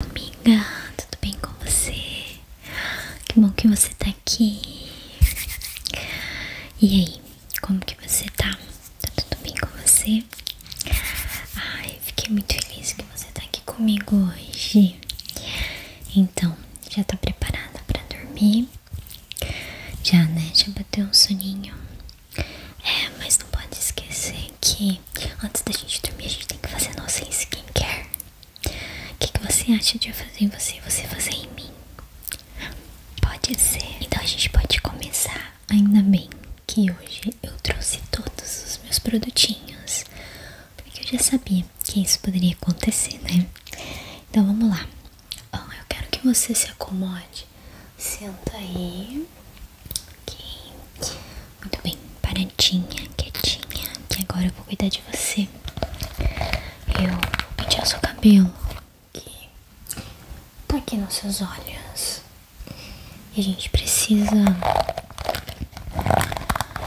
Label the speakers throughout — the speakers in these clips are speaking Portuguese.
Speaker 1: Amiga, tudo bem com você? Que bom que você tá aqui. E aí, como que você tá? Tá tudo bem com você? Ai, fiquei muito feliz que você tá aqui comigo hoje. Então, já tá preparada pra dormir? Já, né? Já bateu um soninho? É, mas não pode esquecer que antes da gente dormir a gente tem que fazer a nossa skincare. O que, que você acha de eu fazer em você você fazer em mim? Pode ser. Então a gente pode começar. Ainda bem que hoje eu trouxe todos os meus produtinhos. Porque eu já sabia que isso poderia acontecer, né? Então vamos lá. eu quero que você se acomode. Senta aí muito bem, paradinha, quietinha, que agora eu vou cuidar de você. Eu vou pentear seu cabelo, que tá aqui nos seus olhos. E a gente precisa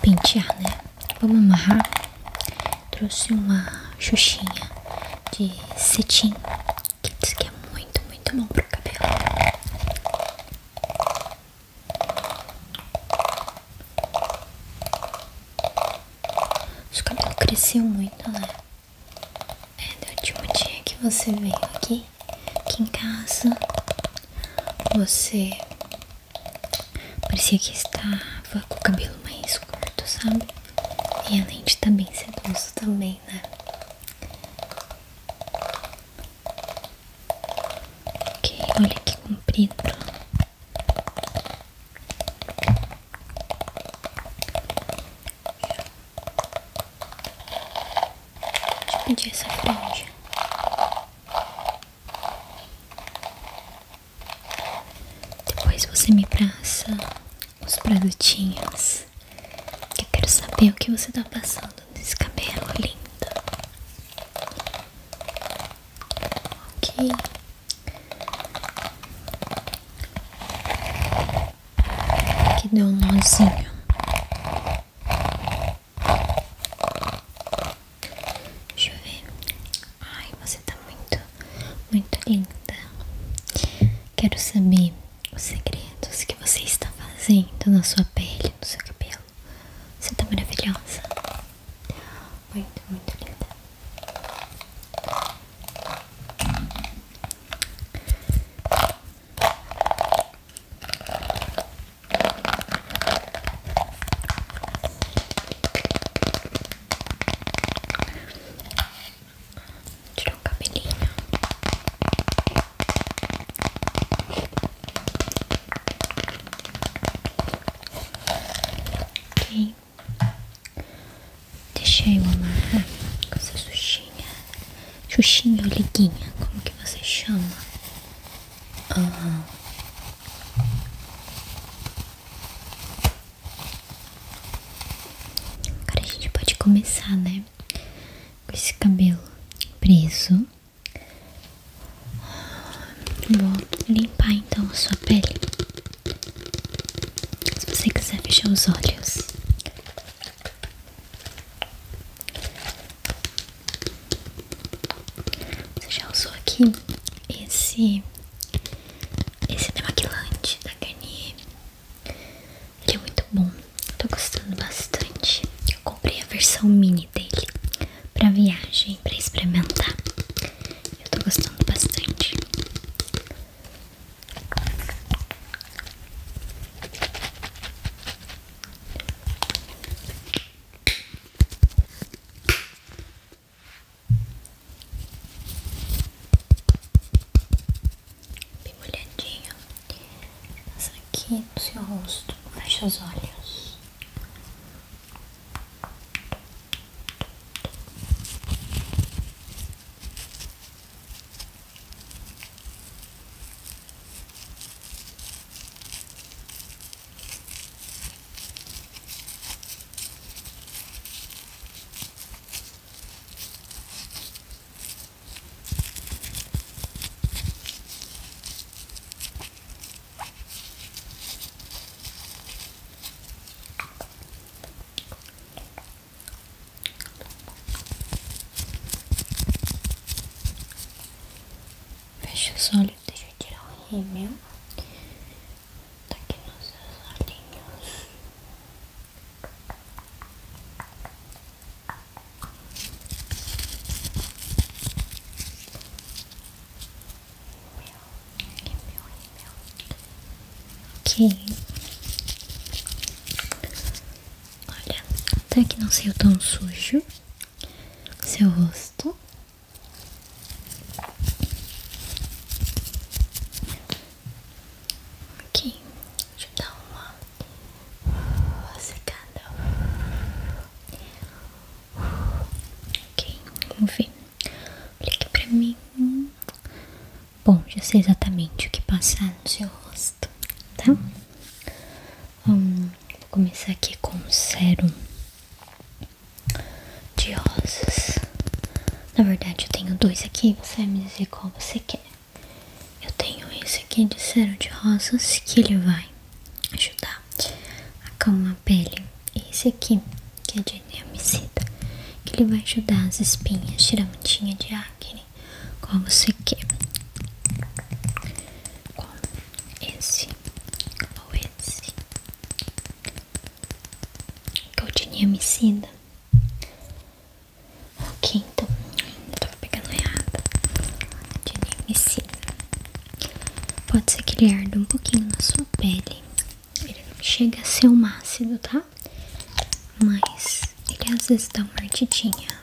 Speaker 1: pentear, né? Vamos amarrar. Trouxe uma xuxinha de cetim, que diz que é muito, muito bom pro cabelo. Seu cabelo cresceu muito, né? É, do último dia que você veio aqui, aqui em casa, você parecia que estava com o cabelo mais curto, sabe? E além de também tá bem também, né? Ok, olha que comprido. Deixa eu pedir essa franja. Depois você me passa os produtinhos. Eu quero saber o que você está passando nesse cabelo linda. Ok. Que deu um nozinho. Deixa eu ver. Ai, você está muito, muito linda. Quero saber os segredos que você está fazendo na sua pele, no seu cabelo. Você está maravilhosa. Muito, muito linda tirar o cabelinho. Ok. Deixei eu amarrar com essa xuxinha. Xuxinha ou liguinha, como que você chama? Ah. Agora a gente pode começar, né? com esse cabelo preso. Vou limpar então a sua pele. Se você quiser fechar os olhos. Você já usou aqui esse esse demaquilante da Garnier ele é muito bom, tô gostando bastante. Eu comprei a versão mini dele pra viagem, pra experimentar. Eu tô gostando bastante bem molhadinho. Passa aqui no seu rosto, fecha os olhos. Fecha os olhos, deixa eu tirar o rímel. Tá aqui nos olhinhos. Ok. Olha, até que não saiu tão sujo seu rosto. Ok, deixa eu dar uma, uma secada. Ok, vamos ver. Olha aqui pra mim. Bom, já sei exatamente o que passar no seu rosto, tá? Hum? Hum, vou começar aqui com um sérum de rosas. Na verdade, eu tenho dois aqui. Você vai me dizer qual você quer. Eu tenho esse aqui de cera de rosas que ele vai ajudar a calmar a pele. E esse aqui que é de neamicida, que ele vai ajudar as espinhas, tirar a mantinha de acne, qual você quer. Qual? Esse ou esse? Que é o de neamicida. Ok, então eu tava pegando errado de se Pode ser que ele arde um pouquinho na sua pele. Ele não chega a ser um ácido, tá? Mas ele às vezes dá uma ardidinha.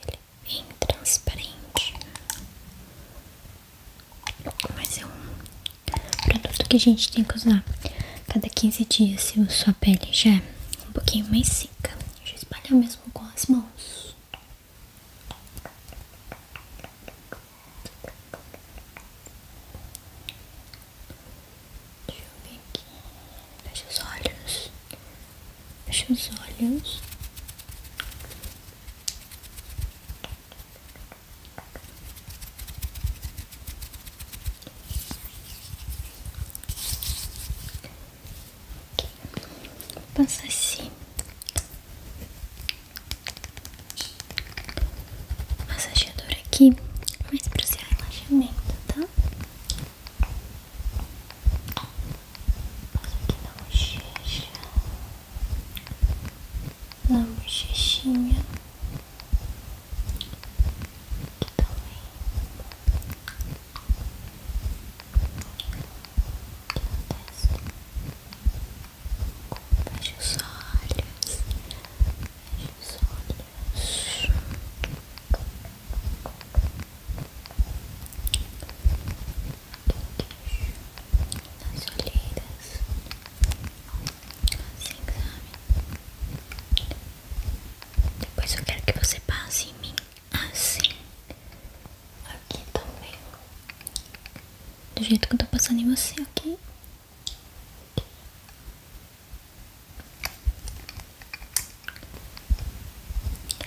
Speaker 1: Ele é bem transparente, mas é um produto que a gente tem que usar cada 15 dias se a sua pele já é um pouquinho mais seca. Já espalha mesmo com as mãos. Deixa eu ver aqui. Fecha os olhos. Fecha os olhos. Vou assim massageador aqui, mas para seu relaxamento, tá? Passa aqui na bochecha, na bochechinha, aqui também. Aqui no teste. Feche os olhos. Feche os olhos. Nas olheiras. assim, exame. Depois eu quero que você passe em mim. Assim. Aqui também. Do jeito que eu tô passando em você, ok?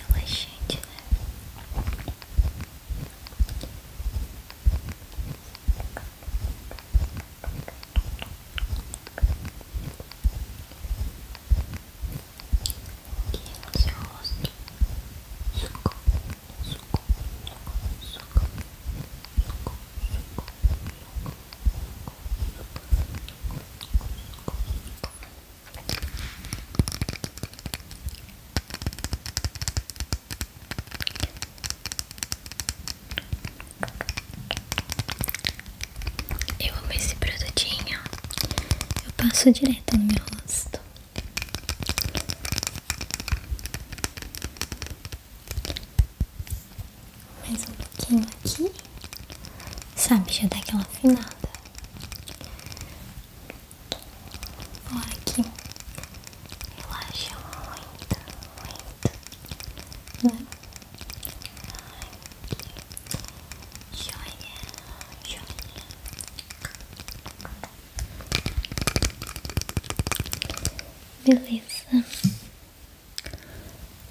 Speaker 1: Relaxante, né? Aqui no é seu rosto suco, suco, suco, suco, eu amo esse produtinho, eu passo direto no meu rosto. Mais um pouquinho aqui, sabe? Já daquela finada. afinada. Ó, aqui, relaxa muito, muito, né? Ai, joia, joia. Beleza.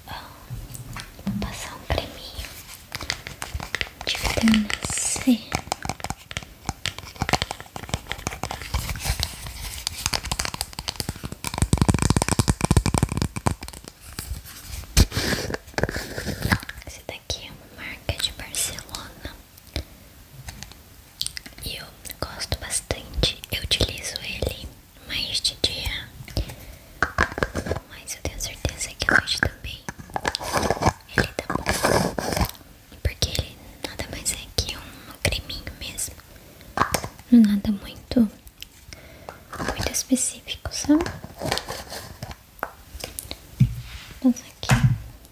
Speaker 1: Bom, vou passar um creminho de vitamina C. Esse daqui é uma marca de Barcelona. E eu gosto bastante, eu utilizo ele mais de dia, mas eu tenho certeza que hoje também ele tá bom, porque ele nada mais é que um creminho mesmo, não é nada muito, muito específico, sabe? Vamos aqui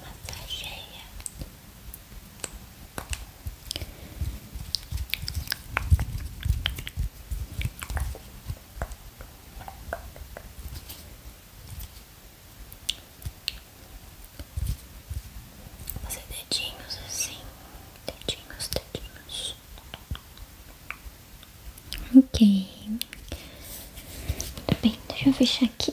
Speaker 1: Massageia. Fazer dedinhos assim, dedinhos, dedinhos. Ok. Muito bem, deixa eu fechar aqui.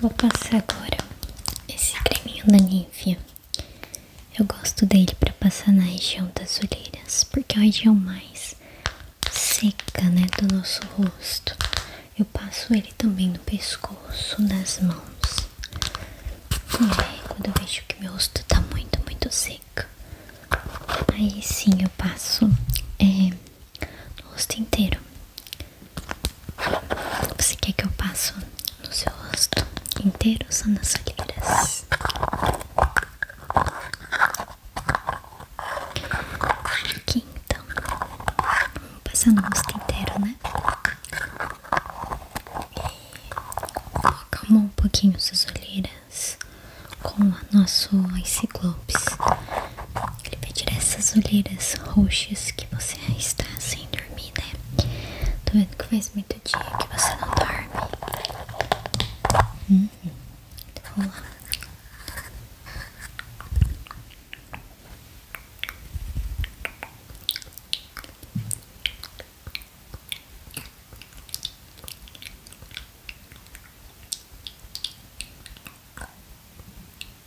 Speaker 1: Vou passar agora esse creminho da Nivea. Eu gosto dele para passar na região das olheiras, porque é a região mais seca, né, do nosso rosto. Eu passo ele também no pescoço, nas mãos. É, quando eu vejo que meu rosto tá muito, muito seco, aí sim eu passo é, no rosto inteiro. Você quer que eu passe no seu rosto inteiro ou só nas olheiras? Aqui então, vamos passar no rosto inteiro, né? Acalmou um pouquinho suas olheiras com o nosso Ice ele vai tirar essas olheiras roxas que você está sem dormir, né? Tô vendo que faz muito dia que você não dorme. Hum, então vamos lá. Hum.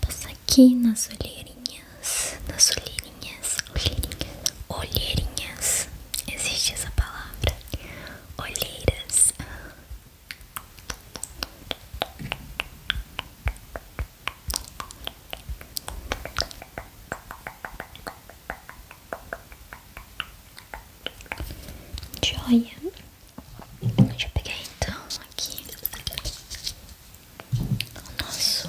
Speaker 1: Passa aqui nas olheirinhas, nas olheirinhas, olheirinhas, olheirinhas. Existe essa palavra, olheiras. Joia. Deixa eu pegar então aqui nosso só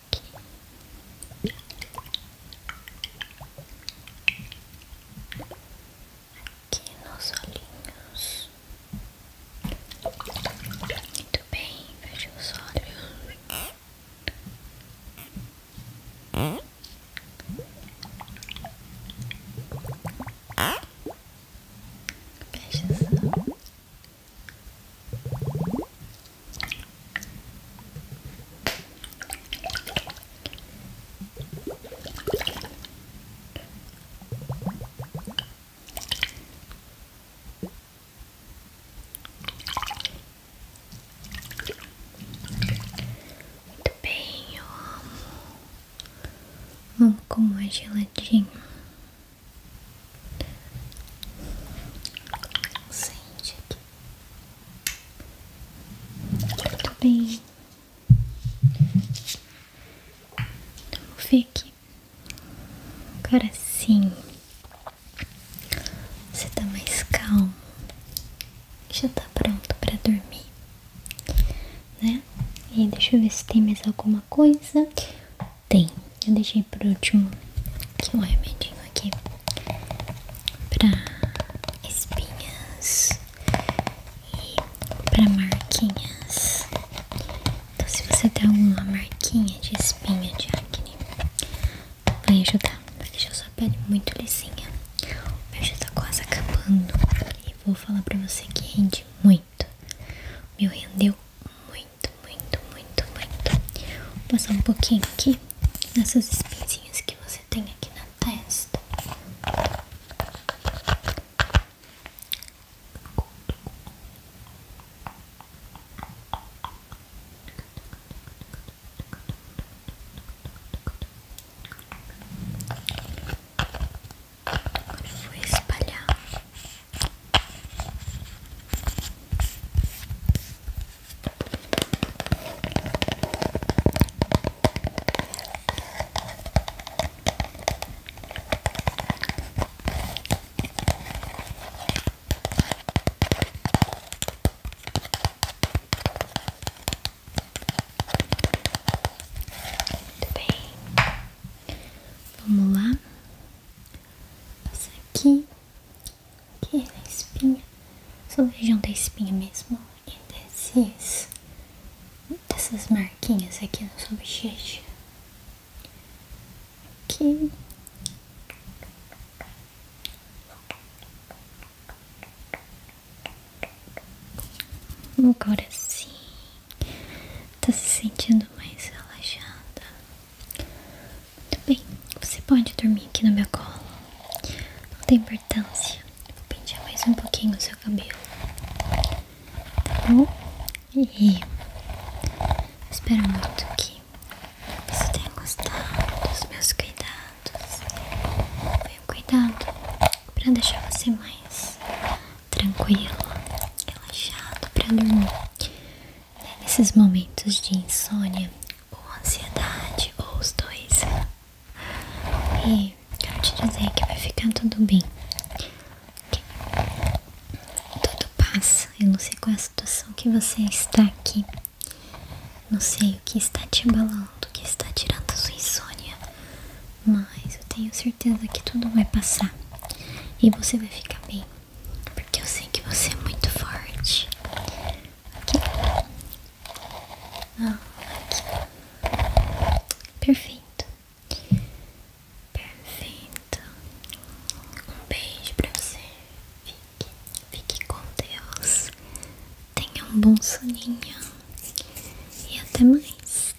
Speaker 1: aqui. Aqui nos olhinhos. Muito bem, feche os olhos. Fecha os olhos. Muito bem, eu amo. Vamos com mais é geladinha. Sente aqui. Muito bem. Vamos ver aqui. Agora sim. Você tá mais calmo. Já tá pronto pra dormir. Né? E deixa eu ver se tem mais alguma coisa. Tem, eu deixei por último aqui um remedinho aqui para espinhas e pra marquinhas. Então se você tem alguma marquinha de espinha de acne, vai ajudar, vai deixar sua pele é muito lisinha. O meu já tá quase acabando e vou falar pra você que rende muito. O meu rendeu muito muito, muito, muito, muito. Vou passar um pouquinho aqui nessas espinhas que você tem aqui na testa. Agora eu vou espalhar muito bem, vamos lá passa aqui, aqui na é espinha, sobre a região da espinha mesmo, e é desses, dessas marquinhas aqui no seu sobrechecho. Aqui. Agora sim, tá se sentindo mais relaxada. Muito bem, você pode dormir aqui na minha cola, Não tem importância. Vou pentear mais um pouquinho o seu cabelo. Tá bom? E espero muito que você tenha gostado dos meus cuidados. Foi um cuidado para deixar você mais tranquilo, relaxado para dormir. Né, nesses momentos de insônia ou ansiedade, ou os dois. E quero te dizer que vai ficar tudo bem. tudo passa. Eu não sei qual é a situação que você está aqui. Não sei o que está te abalando, o que está tirando a sua insônia. Mas eu tenho certeza que tudo vai passar. E você vai ficar bem. Porque eu sei que você é muito forte. Aqui. Ah, aqui. Perfeito. Perfeito. Um beijo pra você. Fique, fique com Deus. Tenha um bom soninho. E até mais.